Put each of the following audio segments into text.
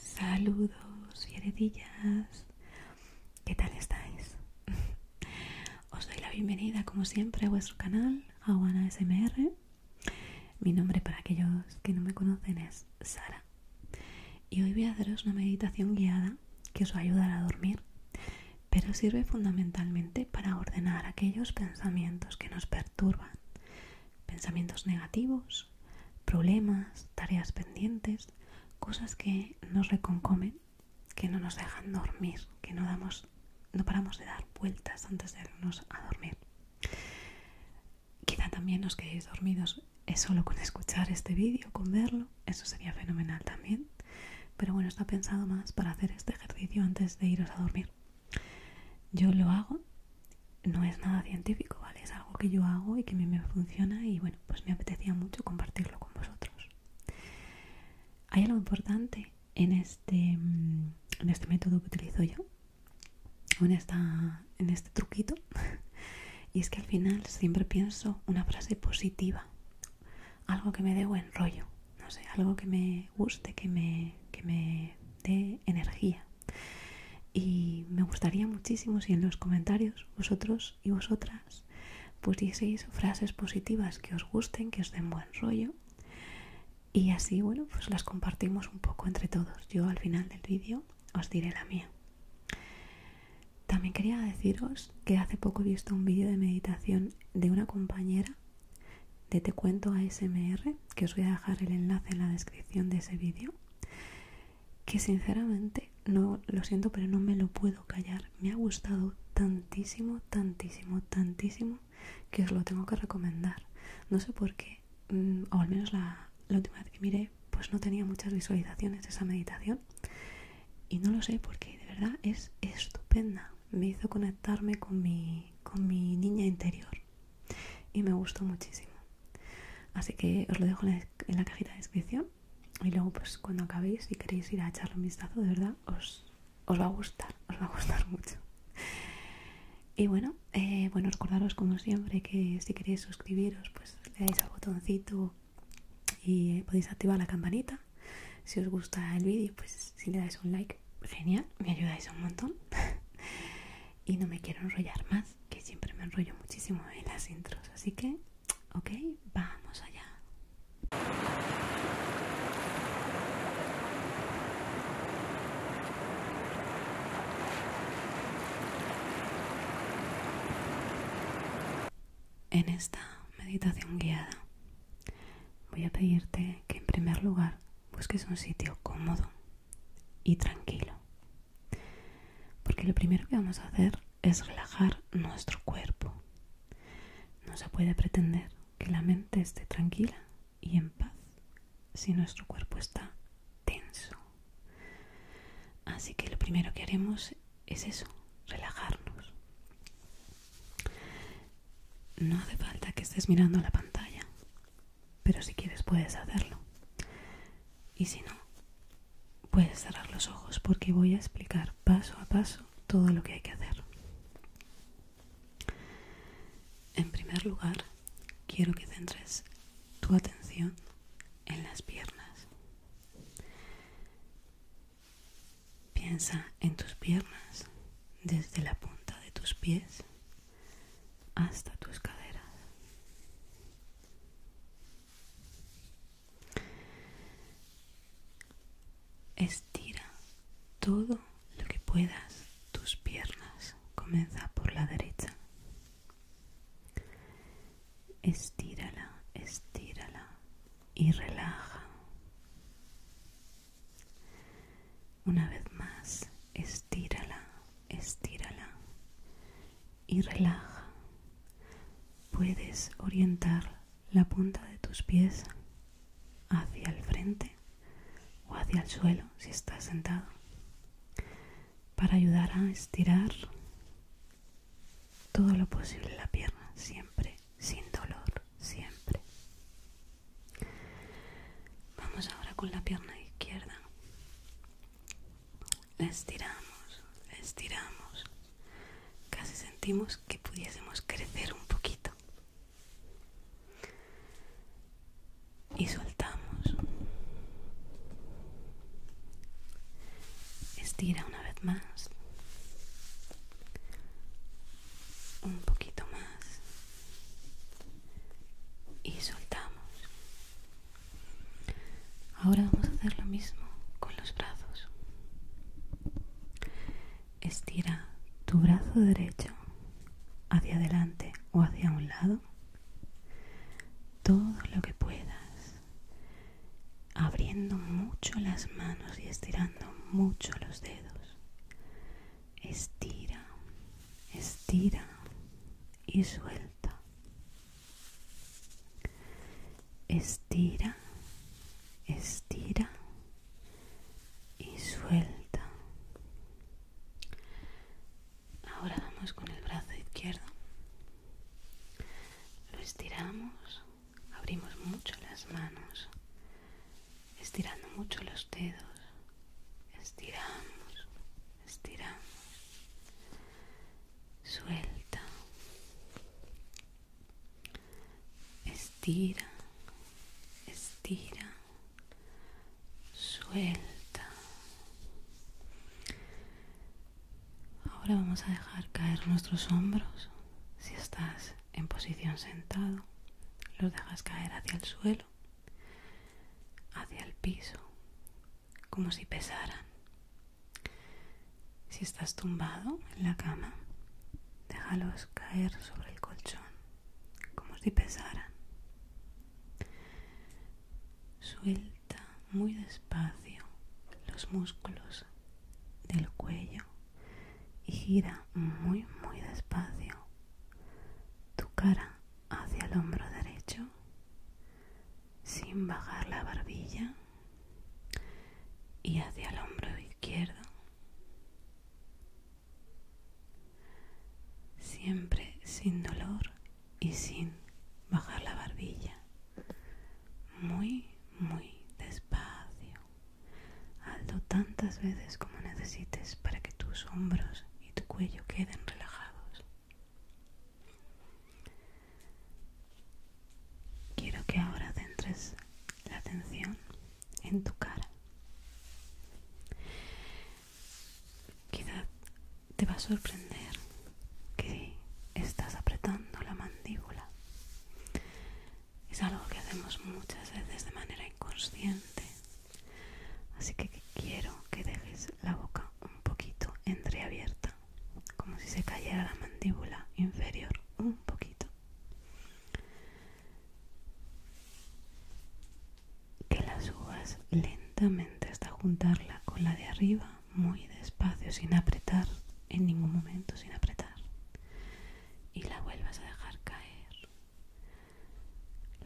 Saludos y heredillas, ¿qué tal estáis? Os doy la bienvenida como siempre a vuestro canal, Aguana SMR. Mi nombre para aquellos que no me conocen es Sara y hoy voy a haceros una meditación guiada que os va a ayudar a dormir, pero sirve fundamentalmente para ordenar aquellos pensamientos que nos perturban, pensamientos negativos, problemas, tareas pendientes, cosas que nos reconcomen, que no nos dejan dormir, que no damos no paramos de dar vueltas antes de irnos a dormir. Quizá también os quedéis dormidos es solo con escuchar este vídeo, con verlo, eso sería fenomenal también. Pero bueno, está pensado más para hacer este ejercicio antes de iros a dormir. Yo lo hago, no es nada científico, ¿vale? Es algo que yo hago y que a mí me funciona y bueno, pues me apetecía mucho compartirlo con vosotros. Hay algo importante en este, mm, en este método que utilizo yo, en, en este truquito, y es que al final siempre pienso una frase positiva, algo que me dé buen rollo, no sé, algo que me guste, que me, dé energía. Y me gustaría muchísimo si en los comentarios vosotros y vosotras pusieseis frases positivas que os gusten, que os den buen rollo. Y así, bueno, pues las compartimos un poco entre todos. Yo al final del vídeo os diré la mía. También quería deciros que hace poco he visto un vídeo de meditación de una compañera de Te Cuento ASMR, que os voy a dejar el enlace en la descripción de ese vídeo, que sinceramente, no lo siento, pero no me lo puedo callar. Me ha gustado tantísimo, tantísimo, tantísimo, que os lo tengo que recomendar. No sé por qué, mm, o al menos la, última vez que miré, pues no tenía muchas visualizaciones de esa meditación. Y no lo sé porque de verdad es estupenda me hizo conectarme con mi, con mi niña interior y me gustó muchísimo. Así que os lo dejo en la, cajita de descripción y luego pues cuando acabéis, si queréis ir a echarle un vistazo, de verdad, os, va a gustar, os va a gustar mucho. Y bueno, eh, bueno, recordaros como siempre que si queréis suscribiros, pues le dais al botoncito y eh, podéis activar la campanita. Si os gusta el vídeo, pues si le dais un like genial, me ayudáis un montón. y no me quiero enrollar más, que siempre me enrollo muchísimo en las intros, así que, ok, vamos allá. En esta meditación guiada voy a pedirte que en primer lugar busques un sitio cómodo y tranquilo. Porque lo primero que vamos a hacer es relajar nuestro cuerpo. No se puede pretender que la mente esté tranquila y en paz si nuestro cuerpo está tenso. Así que lo primero que haremos es eso, relajarnos. No hace falta que estés mirando la pantalla. Pero si quieres puedes hacerlo. Y si no, puedes cerrar los ojos porque voy a explicar paso a paso todo lo que hay que hacer. En primer lugar, quiero que centres tu atención en las piernas. Piensa en tus piernas desde la punta de tus pies hasta tus caderas. Estira todo lo que puedas tus piernas. Comienza por la derecha. Estírala, estírala y relaja. Una vez más, estírala, estírala y relaja. Puedes orientar la punta de tus pies hacia el frente o hacia el suelo si estás sentado para ayudar a estirar todo lo posible la pierna, siempre sin dolor, siempre. Vamos ahora con la pierna izquierda. estiramos, estiramos. Casi sentimos que pudiésemos crecer un poquito. Y soltamos. Estira una vez más. Un poquito más y soltamos. Ahora vamos a hacer lo mismo con los brazos. Estira tu brazo derecho hacia adelante o hacia un lado. Todo lo que puedas. Abriendo mucho las manos y estirando mucho los dedos. Estira, estira y suelta. Estira, estira y suelta. Ahora vamos con el brazo izquierdo. Lo estiramos, abrimos mucho las manos estirando mucho los dedos. Estiramos, estiramos. Suelta. Estira, estira. Suelta. Ahora vamos a dejar caer nuestros hombros. Si estás en posición sentado, los dejas caer hacia el suelo hacia el piso, como si pesaran. Si estás tumbado en la cama, déjalos caer sobre el colchón, como si pesaran. Suelta muy despacio los músculos del cuello y gira muy muy despacio tu cara hacia el hombro derecho sin bajar la barbilla y hacia el hombro izquierdo. Siempre sin dolor y sin bajar la barbilla. Muy, muy despacio. Hazlo tantas veces como necesites para que tus hombros y tu cuello queden relajados. Quiero que ahora centres la atención en tu cara. Quizás te va a sorprender que estás apretando la mandíbula. Es algo que hacemos muchas veces de manera inconsciente Así que quiero que dejes la boca un poquito entreabierta, como si se cayera la mandíbula inferior un poquito. Que la subas lentamente hasta juntarla con la de arriba, muy despacio, sin apretar en ningún momento, sin apretar. Y la vuelvas a dejar caer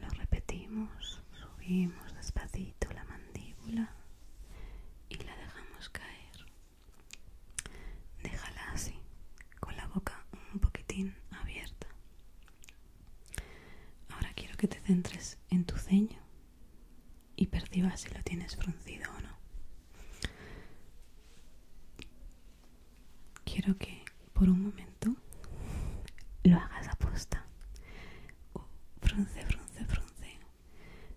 lo repetimos, subimos despacito la mandíbula y la dejamos caer. Déjala así, con la boca un poquitín abierta. Ahora quiero que te centres en tu ceño y percibas si lo tienes fruncido o no. Quiero que por un momento lo hagas aposta o frunce, frunce, frunce,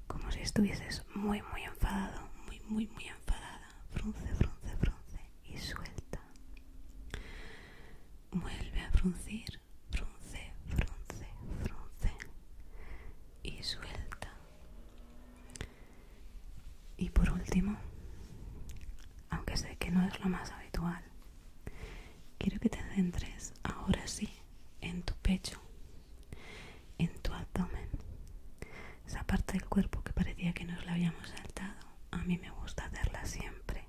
como si estuvieses muy, muy enfadado, muy, muy, muy enfadada, frunce, frunce, frunce y suelta. Vuelve a fruncir, frunce, frunce, frunce y suelta. Y por último, aunque sé que no es lo más habitual, Quiero que te centres ahora sí en tu pecho, en tu abdomen. Esa parte del cuerpo que parecía que nos la habíamos saltado. A mí me gusta hacerla siempre,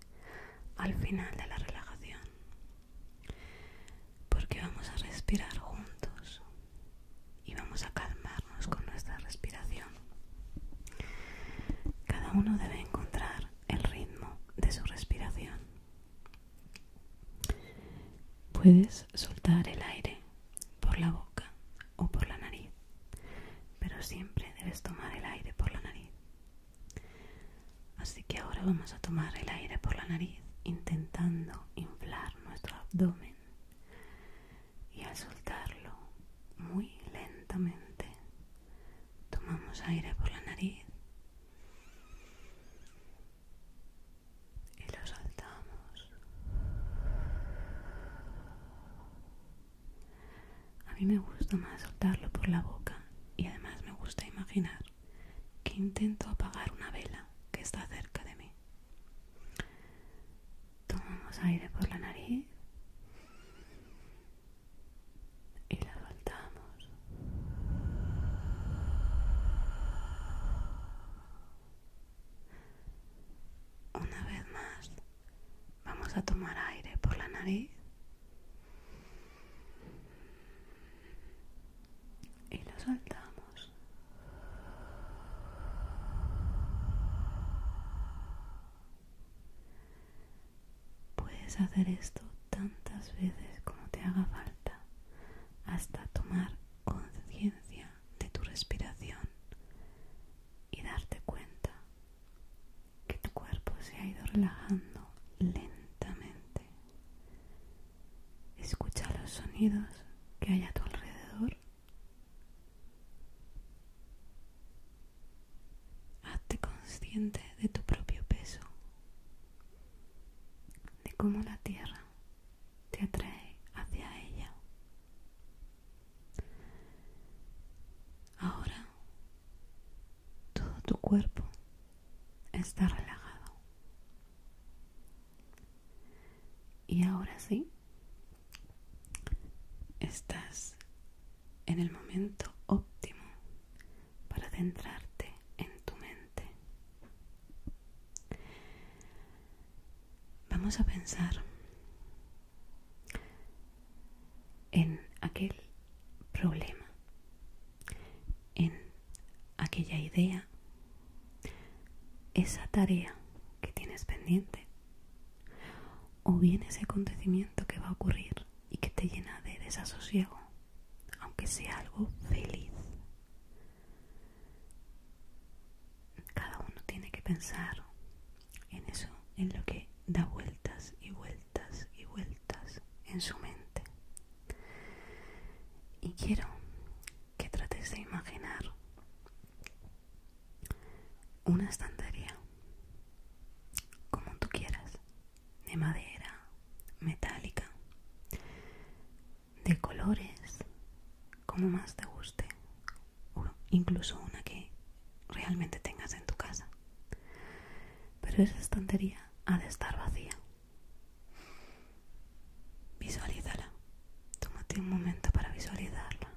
al final de la relajación. Porque vamos a respirar juntos y vamos a calmarnos con nuestra respiración. Cada uno debe encontrar el ritmo de su respiración. Puedes soltar el aire por la boca o por la nariz, pero siempre debes tomar el aire por la nariz. Así que ahora vamos a tomar el aire por la nariz intentando inflar nuestro abdomen y al soltarlo muy lentamente Tomamos aire por la nariz y lo soltamos. A mí me gusta más soltarlo por la boca y además me gusta imaginar que intento apagar una vela que está cerca de mí. Tomamos aire por la nariz y la soltamos. Una vez más, vamos a tomar aire por la nariz y lo soltamos. Puedes hacer esto tantas veces como te haga falta hasta tomar conciencia de tu respiración y darte cuenta que tu cuerpo se ha ido relajando lentamente. Escucha los sonidos que hay a tu alrededor. Hazte consciente de tu propio peso, de cómo la tierra te atrae hacia ella. Ahora todo tu cuerpo está relajado. Y ahora sí, estás en el momento óptimo para centrarte en tu mente. Vamos a pensar en aquel problema, en aquella idea, esa tarea que tienes pendiente o bien ese acontecimiento que va a ocurrir y que te llena de desasosiego, aunque sea algo feliz. Cada uno tiene que pensar en eso, en lo que da vueltas y vueltas y vueltas en su mente. Y quiero que trates de imaginar una estantería, como tú quieras, de madera metálica, de colores, como más te guste, incluso una que realmente tengas en tu casa. Pero esa estantería ha de estar vacía. Visualízala. Tómate un momento para visualizarla.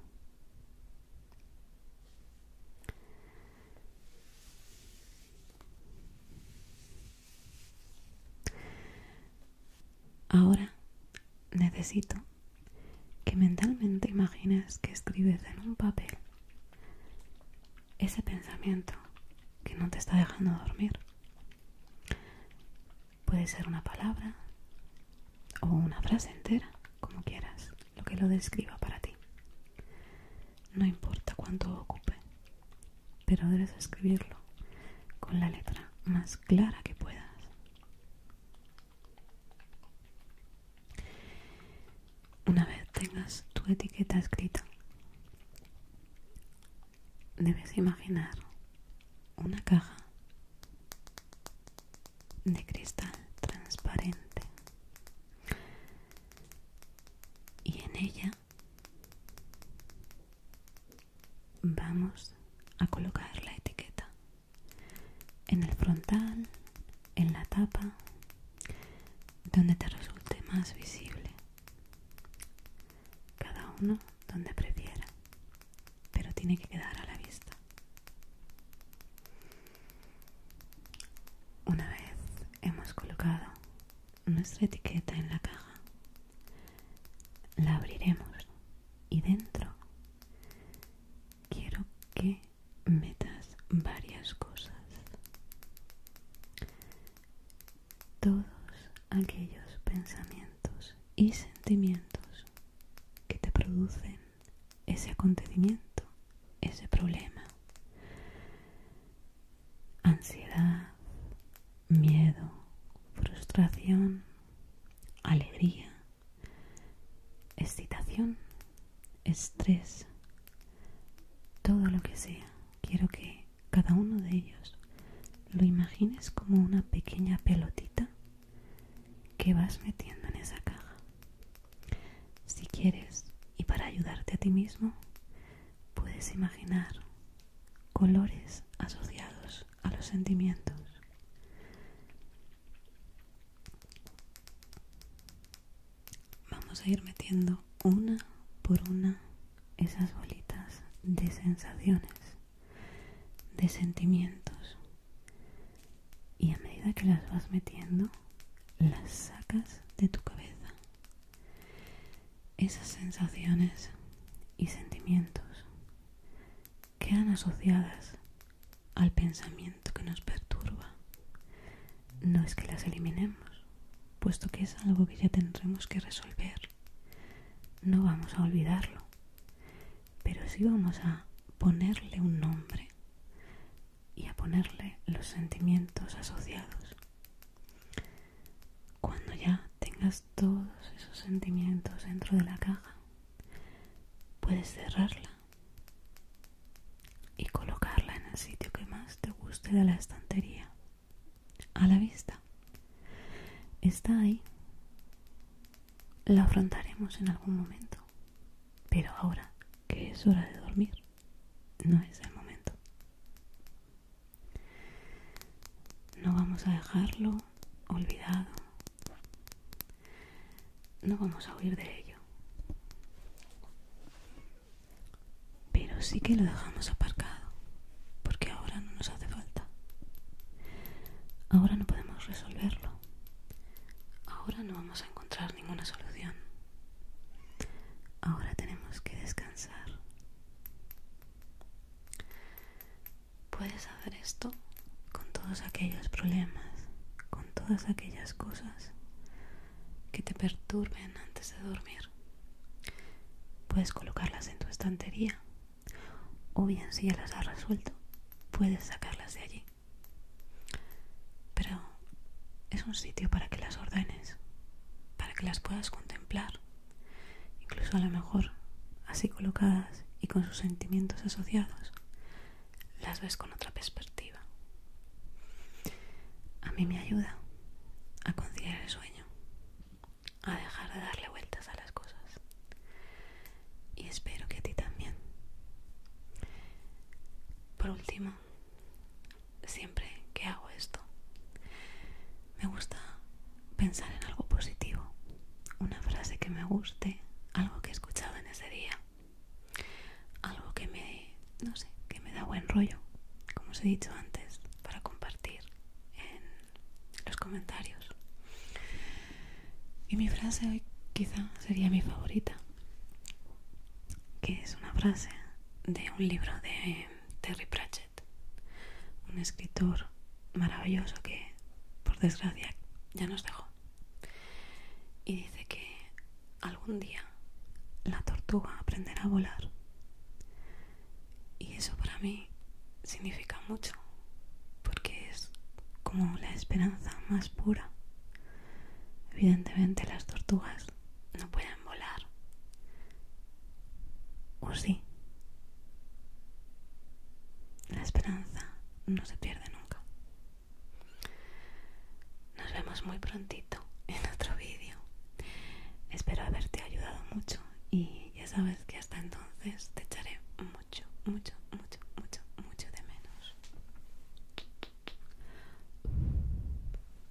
Ahora necesito que mentalmente imagines que escribes en un papel ese pensamiento que no te está dejando dormir. Puede ser una palabra o una frase entera, como quieras, lo que lo describa para ti no importa cuánto ocupe, pero debes escribirlo con la letra más clara que puedas. Una vez tengas tu etiqueta escrita, debes imaginar una caja de cristal transparente y en ella vamos a colocar la etiqueta en el frontal, en la tapa, donde te resulte más visible. Cada uno donde prefiera, pero tiene que quedar a la vista. Una vez hemos colocado nuestra etiqueta en la caja. La abriremos y dentro quiero que metas varias cosas. Todos aquellos pensamientos y sentimientos que te producen ese acontecimiento, ese problema, ansiedad, miedo, frustración, alegría, excitación, estrés, todo lo que sea. Quiero que cada uno de ellos lo imagines como una pequeña pelotita que vas metiendo en esa caja. Si quieres, y para ayudarte a ti mismo, puedes imaginar colores asociados a los sentimientos. Vamos a ir metiendo una por una esas bolitas de sensaciones, de sentimientos. Y a medida que las vas metiendo, las sacas de tu cabeza esas sensaciones y sentimientos quedan asociadas al pensamiento que nos perturba. No es que las eliminemos, puesto que es algo que ya tendremos que resolver. No vamos a olvidarlo, pero sí vamos a ponerle un nombre y a ponerle los sentimientos asociados cuando ya tengas todos esos sentimientos dentro de la caja, puedes cerrarla y colocarla en el sitio que más te guste de la estantería, a la vista. Está ahí. La afrontaremos en algún momento. Pero ahora que es hora de dormir, no es el momento. No vamos a dejarlo olvidado. No vamos a huir de ello. Pero sí que lo dejamos aparcado, porque ahora no nos hace falta. Ahora no podemos resolverlo. Ahora no vamos a encontrar ninguna solución. Ahora tenemos que descansar. Puedes hacer esto con todos aquellos problemas, con todas aquellas cosas que te perturben antes de dormir. Puedes colocarlas en tu estantería o bien si ya las has resuelto, puedes sacarlas de allí. Pero es un sitio para que las ordenes, para que las puedas contemplar, incluso a lo mejor así colocadas y con sus sentimientos asociados, las ves con otra perspectiva. A mí me ayuda a conciliar el sueño, a dejar de darle vueltas a las cosas. Y espero que a ti también. Por último, siempre que hago esto. Me gusta pensar en algo positivo, una frase que me guste, algo que he escuchado en ese día, algo que me, no sé, que me da buen rollo, como os he dicho antes, para compartir en los comentarios. Y mi frase hoy quizá sería mi favorita, que es una frase de un libro de Terry Pratchett, un escritor maravilloso que, por desgracia, ya nos dejó. Y dice que algún día la tortuga aprenderá a volar. Y eso para mí significa mucho, porque es como la esperanza más pura. Evidentemente las tortugas no pueden volar. ¿O sí? La esperanza no se pierde nunca. Nos vemos muy prontito en otro vídeo. Espero haberte ayudado mucho y ya sabes que hasta entonces te echaré mucho, mucho, mucho, mucho, mucho de menos.